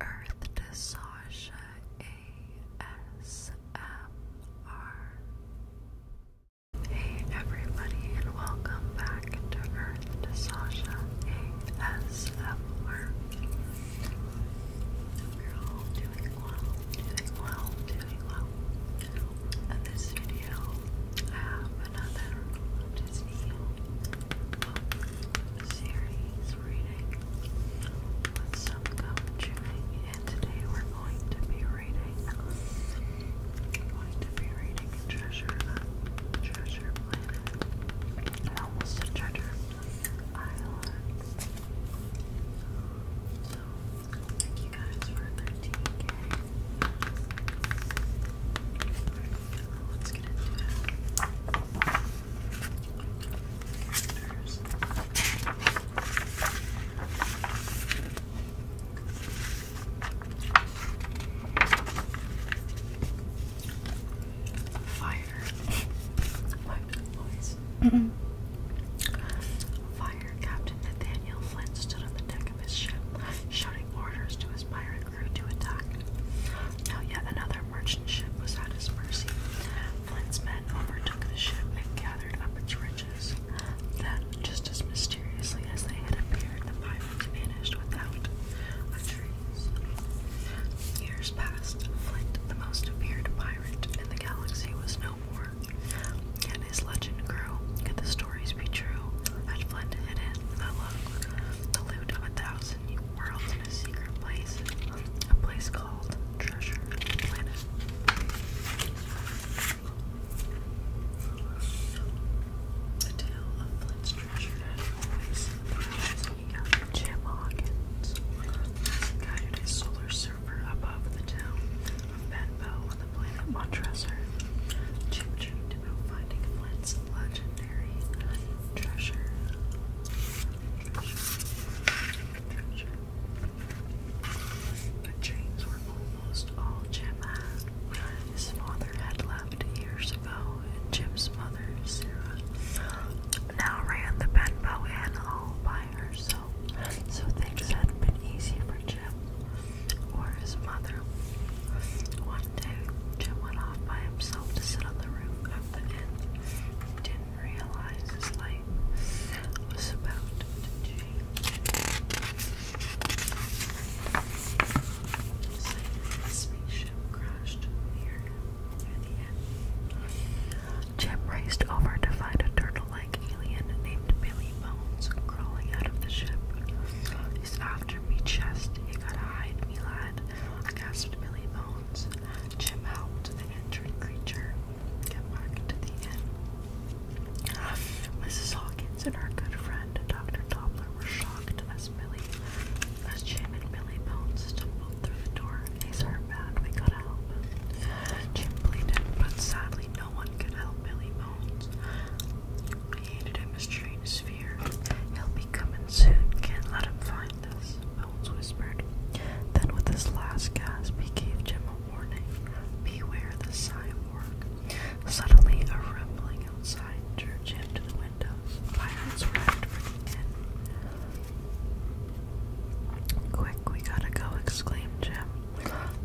Earth to Sasha ASMR. Hey everybody, and welcome back to Earth to Sasha ASMR. We're all doing well, doing well, doing well. In this video, I have another Disney series reading with some gum and today we're going to be reading. We're going to be reading Treasure, Treasure Island. So, thank you guys for 13 Let's get into it. Fire. mm -mm. Fire. Captain Nathaniel Flint stood on the deck of his ship, shouting orders to his pirates grew to attack. Now yet another merchant ship was at his mercy. Flint's men overtook the ship and gathered up its riches. Then, just as mysteriously as they had appeared, the pirates vanished without a trace. Years passed. Flint, the most feared pirate in the galaxy, was no more. Yet his legend grew. Could the stories be true? Had Flint hidden the loot of a thousand worlds a secret place, a place called Treasure Planet. The tale of Flint's treasure Jim Hawkins. guided his solar server above the town of Benbow on the planet Montressor. Jim dreamed about finding Flint's legendary treasure. The chains were almost all Jim had. His father had left years ago, and Jim's mother, Sarah, now ran the Benbow Inn all by herself, so things hadn't been easy for Jim or his mother. One day, Jim went off by himself to sit on the roof something and didn't realize his life was about to change. the spaceship crashed near him the end. Jim raced over to find a turtle-like alien named Billy Bones crawling out of the ship. He's after me, chest. You gotta hide me, lad. gasped Billy Bones rounds, chip out the injured creature, get back to the inn. Mrs. Hawkins and her good friend, Dr. Doppler, were shocked as Billy, as Jim and Billy Bones stumbled through the door. These are bad, we gotta help. Jim pleaded, but sadly no one could help Billy Bones. He hated him a strange fear. He'll be coming soon, can't let him find us. Melons whispered. Then, with his last gasp, he gave Jim a warning Beware the cyborg. Suddenly, a rumbling outside drew Jim to the window. Irons arrived for the Quick, we gotta go, exclaimed Jim.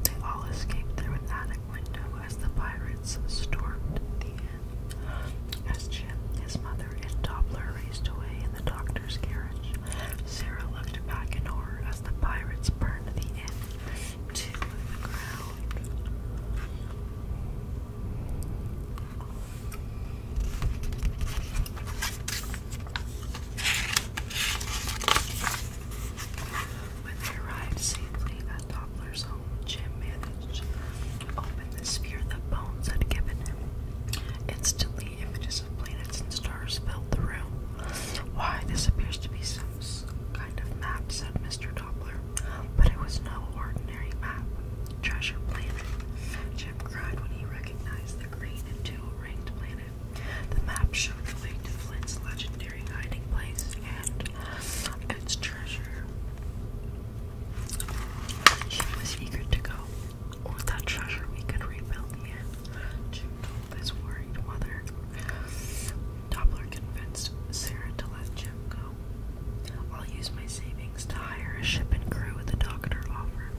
They all escaped through an attic window as the pirates stormed the as Jim, his mother, and Doppler raced away in the doctor's carriage, Sarah looked back in horror as the pirates burned the inn to the ground. When they arrived safely at Doppler's home, Jim managed opened the sphere that Bones had given him. Instantly, images of planets and stars filled the room. Why, this appears to be some kind of map, said Mr. Doppler. But it was no ordinary map. Treasure Planet. Jim cried when he recognized the green and two-ringed planet. The map showed the Flint's legendary hiding place and its treasure. She was eager to go. With that treasure, we could rebuild the inn. his worried mother. Doppler convinced Sarah to let Jim go. I'll use my savings to hire a ship and crew, the doctor offered.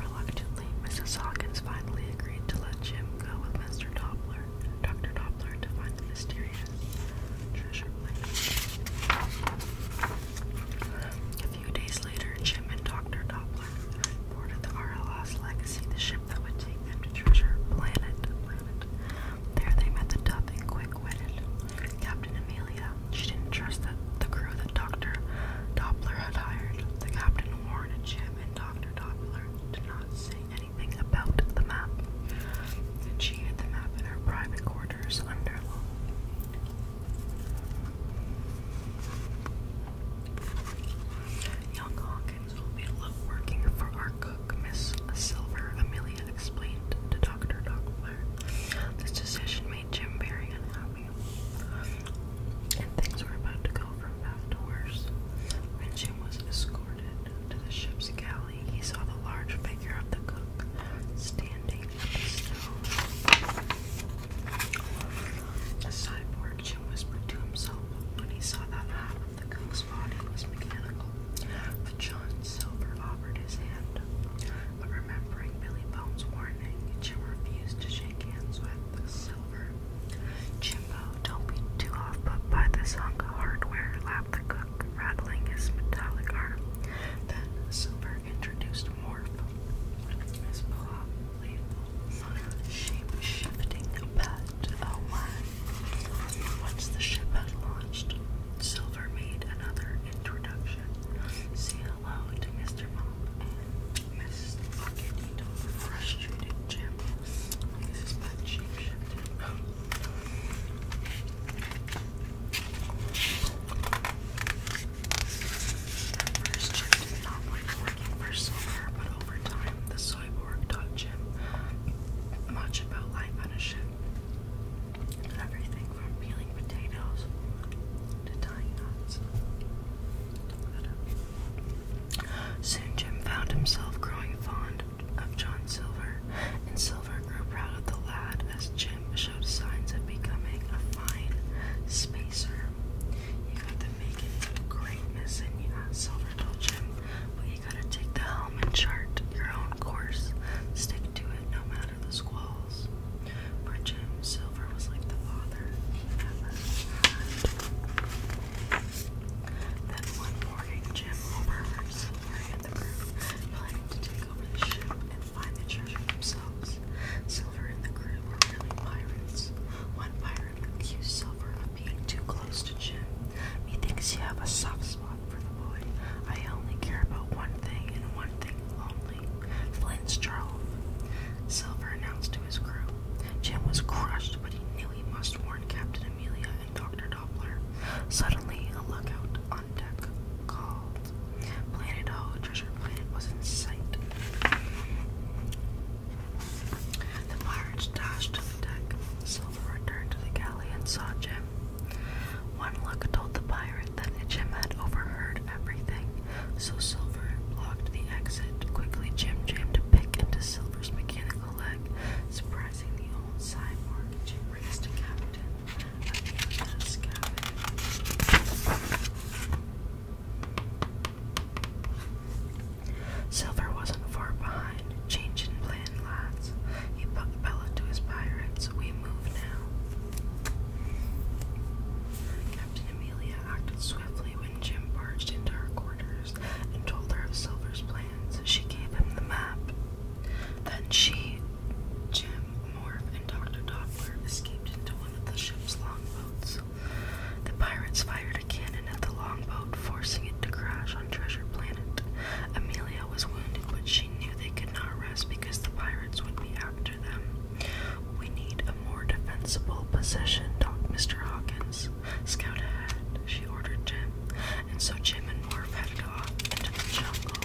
Reluctantly, Mrs. Hawkins finally agreed to let Jim go with Mr. Doppler. Dr. Doppler to find the mystery mysterious treasure plane. A few days later, Jim and Dr. Doppler boarded the RLS Legacy, the ship that would take them to Treasure Planet. Planet. There they met the tough and quick-witted Captain Amelia. She didn't trust the, the crew that Dr. Doppler had hired. The captain warned Jim and Dr. Doppler to not say anything about the map. And she hid the map in her private quarters. Waters Wonderland. Young Hawkins will be working for our cook, Miss Silver, Amelia explained to Dr. Doppler. This decision made Jim very unhappy, and things were about to go from bad to worse. When Jim was escorted to the ship's galley, he saw the large figure of the cook standing the cyborg, Jim whispered to himself when he saw that half of the cook's body was mechanical. But John Silver offered his hand. But remembering Billy Bone's warning, Jim refused to shake hands with Silver. Jimbo, don't be too off put by this hunk of hardware, laughed the cook rattling his metallic arm. Then Silver introduced Morph, his playful, shape-shifting pet. Oh my! Once the ship had launched, Silver made another introduction. Say hello to Mr. Mom and Mrs. Frustrated Jim, his shape-shifted. First, Jim did not like working Silver, but over time, the cyborg taught Jim much about life on a ship. Everything from peeling potatoes to tying knots. Soon Jim found himself growing fond of John Silver, and so Silver grew proud of the lad as Jim showed signs of becoming a fine spacer. You got the making of greatness, and yeah, Silver told Jim, but you gotta take the helm and chart your own course. Stick to it no matter the squalls. For Jim, Silver was like the father he never had. Then one morning, Jim overheard Silver and the group planning to do over the ship and find the treasure themselves. Silver and the crew were really pirates. One pirate accused Silver of being too close to Jim. Methinks you have a soft spot for the boy. I only care about one thing and one thing only. Flint's trove. Silver announced to his crew. Jim was crushed, but he knew he must warn Captain Amelia and Dr. Doppler. Suddenly, a lookout on deck called Planet Ho. Treasure Planet was in sight. The pirates dashed to the deck. Silver returned to the galley and saw Jim. One look told the pirate that Jim had overheard everything, so Silver blocked the exit. Quickly, Jim jammed a pick into Silver's mechanical leg, surprising the old cyborg. Jim raced to Captain Silver wasn't far behind, changing plan lads. He Bella to his pirates, we move now. Captain Amelia acted swiftly when Jim barged into her quarters and told her of Silver's plans. She gave him the map. Then she, Jim, Morf, and Dr. Doppler escaped into one of the ship's longboats. The pirates fired a cannon at the longboat, forcing it to crash on Treasure Planet. Amelia was wounded, but she knew they could not rest because the pirates would be after them. We need a more defensible position, Doctor. Mr. Hawkins. Scout ahead, she ordered Jim, and so Jim and Morph headed off into the jungle.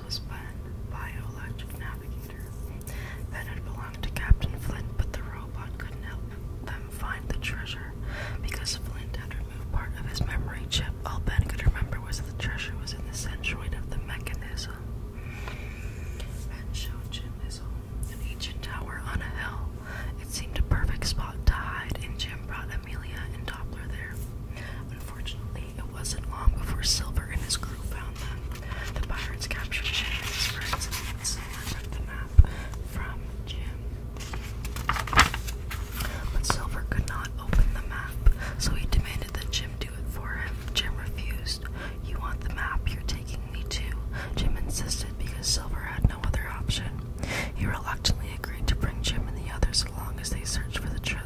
was banned by Navigator. Ben had belonged to Captain Flint, but the robot could help them find the treasure. Because Flint had removed part of his memory chip, all Ben could remember was that the treasure was in the centroid of the mechanism. Ben showed Jim his home, an ancient tower on a hill. It seemed a perfect spot to hide, and Jim brought Amelia and Doppler there. Unfortunately, it wasn't long before Silver and his crew found them. The pirates captured Jim and friends and Silver took the map from Jim. But Silver could not open the map, so he demanded that Jim do it for him. Jim refused. You want the map, you're taking me too. Jim insisted because Silver had no other option. He reluctantly agreed to bring Jim and the others along as they searched for the, truth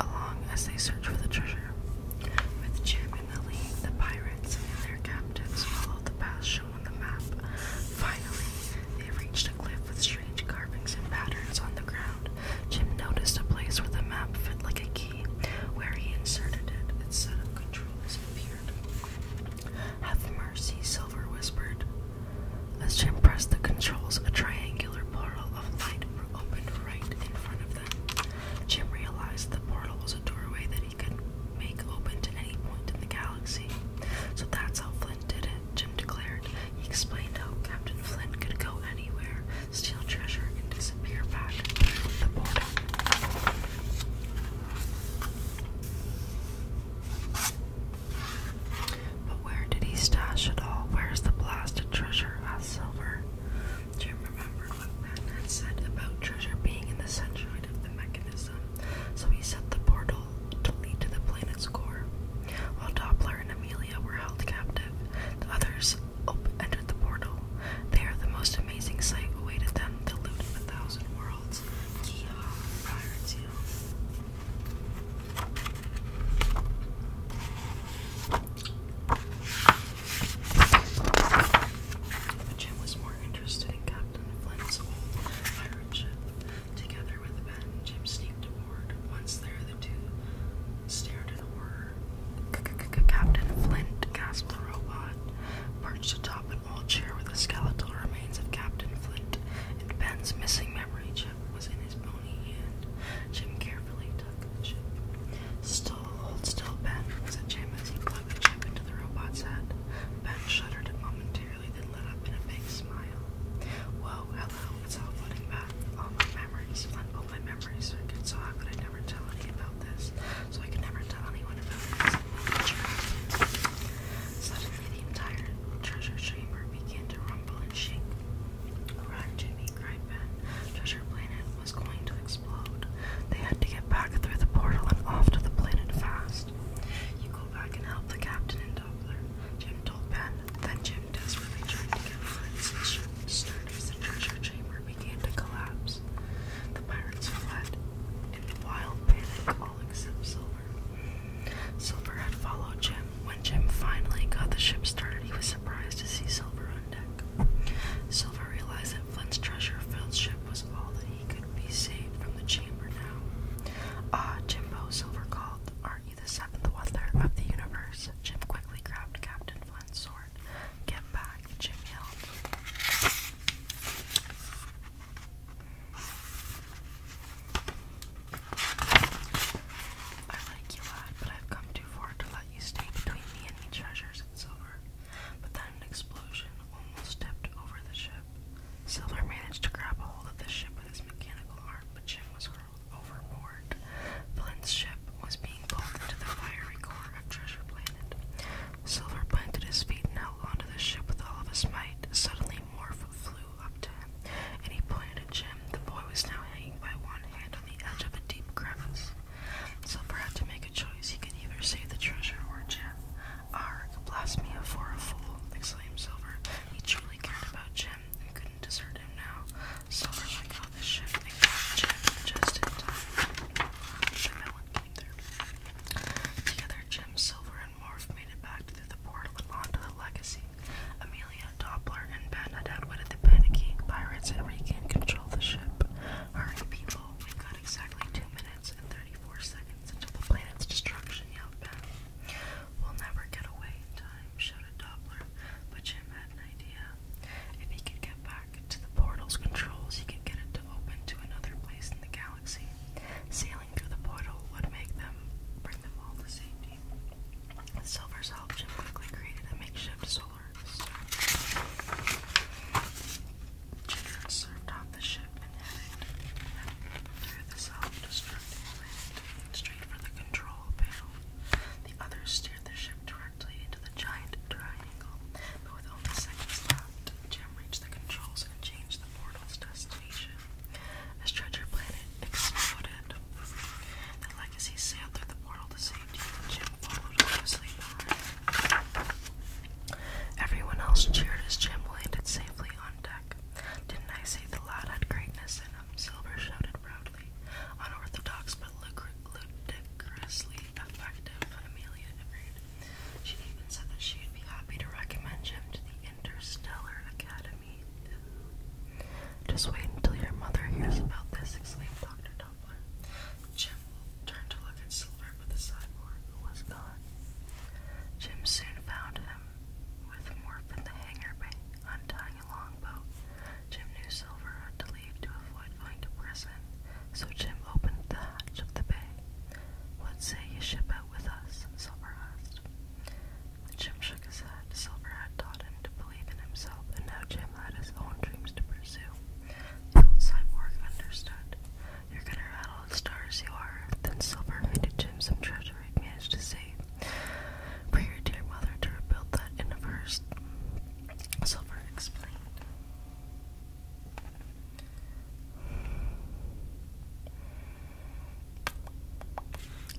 along as they search for the treasure. With Jim in the lead, the pirates and their captives followed the path shown on the map. Finally, they reached a cliff with strange carvings and patterns on the ground. Jim noticed a place where the map fit like a key. Where he inserted it, its set of controls appeared. Have mercy, Silver whispered. As Jim pressed the controls, a triangular portal of light Jim realized the portal was a doorway that he could make open to any point in the galaxy. So that's how Flynn did it, Jim declared. He explained how Captain Flynn could go anywhere, steal treasure, and disappear back through the portal. But where did he stash it all? Where's the blasted treasure? asked Silver. Jim remembered what Matt had said about treasure being in the centroid of the mechanism, so he set the portal to lead to the planet's core. While Doppler and Amelia were held captive, the others entered the portal. There, the most amazing sight awaited them the loot of a thousand worlds. Jim was more interested in Captain Flint's old pirate ship. Together with Ben, Jim sneaked aboard. Once there, the two stared in horror. Captain Flint gasped the robot, perched atop an old chair with the skeletal remains of Captain Flint and Ben's missing memory chip was in his bony hand. Jim carefully tucked the chip. Still, hold still, Ben, said Jim as he plugged the chip into the robot's head. Ben shuddered momentarily, then lit up in a big smile. Whoa, hello, it's all flooding back. All my memories, all my memory circuits, so how could I never tell anyone about this? So I can never tell anyone about this. Suddenly, the entire treasure chamber began to rumble and shake. Run, Jimmy, cried Treasure Planet was going to explode. They had to get back through the portal and off to the planet fast. You go back and help the captain and Doppler, Jim told Ben. Then Jim desperately tried to get Flint's starters and treasure chamber began to collapse. The pirates fled in wild panic, all except Silver. Silver had followed Jim when Jim finally got the ship started, he was surprised to see Silver on deck. Silver realized that Flint's treasure-filled ship was all that he could be saved from the chamber now. Ah, Jimbo, Silver called. Aren't you the seventh wonder of the universe? Jim quickly grabbed Captain Flint's sword. Get back, Jim yelled. I like you, lad, but I've come to too to let you stay between me and the treasures and Silver, but then an explosion almost tipped over the ship. Silver managed to grab a hold of the ship with his mechanical arm, but Jim was hurled overboard. Flint's ship was being pulled into the fiery core of Treasure Planet. Silver planted his feet and held onto the ship with all of his might. Suddenly, Morph flew up to him, and he pointed at Jim. The boy was now hanging by one hand the edge of a deep crevice. Silver had to make a choice. He could either save the treasure or Jim. Arg, blast me for a fool, exclaimed Silver. He truly cared about Jim and couldn't desert him now. Silver let go the ship Jim just in time. The melon came through. Together, Jim, Silver, and Morph made it back through the portal onto the legacy Nancy. Amelia, Doppler, and Ben had outwitted the panicking pirates and regained control the ship. Alright, people, we've got exactly 2 minutes and 34 seconds until the planet's destruction, yelled Ben. We'll never get away in time, shouted Doppler, but Jim had an idea. If he could get back to the portal's controls, he could get it to open to another place in the galaxy. Sailing through the portal would make them bring them all to safety. Silver's help Jim quickly created a makeshift solar circuit. Jim served off the ship and headed through the self-destructing plant straight for the control panel. The others steered the ship directly into the giant triangle, but with only seconds left, Jim reached the controls and changed the portal's destination. As treasure planet exploded, as he sailed through the portal to safety, Jim followed closely behind. Everyone else cheered as Jim landed safely on deck. Didn't I say the lad had greatness in him? Silver shouted proudly. Unorthodox but ludicrously effective, Amelia agreed. She even said that she'd be happy to recommend Jim to the Interstellar Academy just wait until your mother hears about this, exclaimed Dr. Dumpler. Jim turned to look at Silver but the cyborg, was gone. Jim soon found him with Morph in the hanger bay, untying a longboat. Jim knew Silver had to leave to avoid going to prison, so Jim opened the hatch of the bay. What say you ship out with us? Silver asked. Jim shook his head. Silver had taught him to believe in himself, and now Jim had his own dreams to pursue. The old cyborg understood. You're gonna rattle the stars, you are. Then Silver handed Jim some treasure he'd managed to save. For your dear mother to rebuild that in of hers, Silver explained.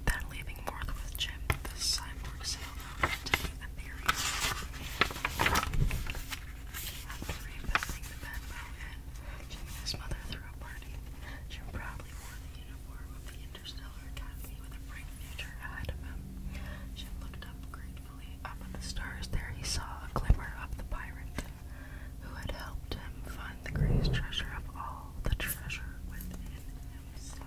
Then leaving north with Jim, the cyborg although I'm taking the theory after reinvesting the Benbow and mother through a party, Jim proudly wore the uniform of the Interstellar Academy with a bright future ahead of him. Jim looked up gratefully up at the stars. There he saw a glimmer of the pirate who had helped him find the greatest treasure of all, the treasure within so,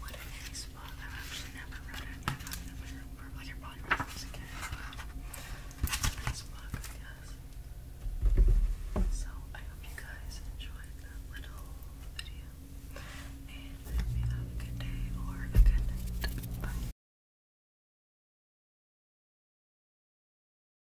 what a nice book. I've actually never read it. I've never, or like you it as a kid. It's book, I So, I hope you guys enjoyed that little video. And I you have a good day or a good night. Bye.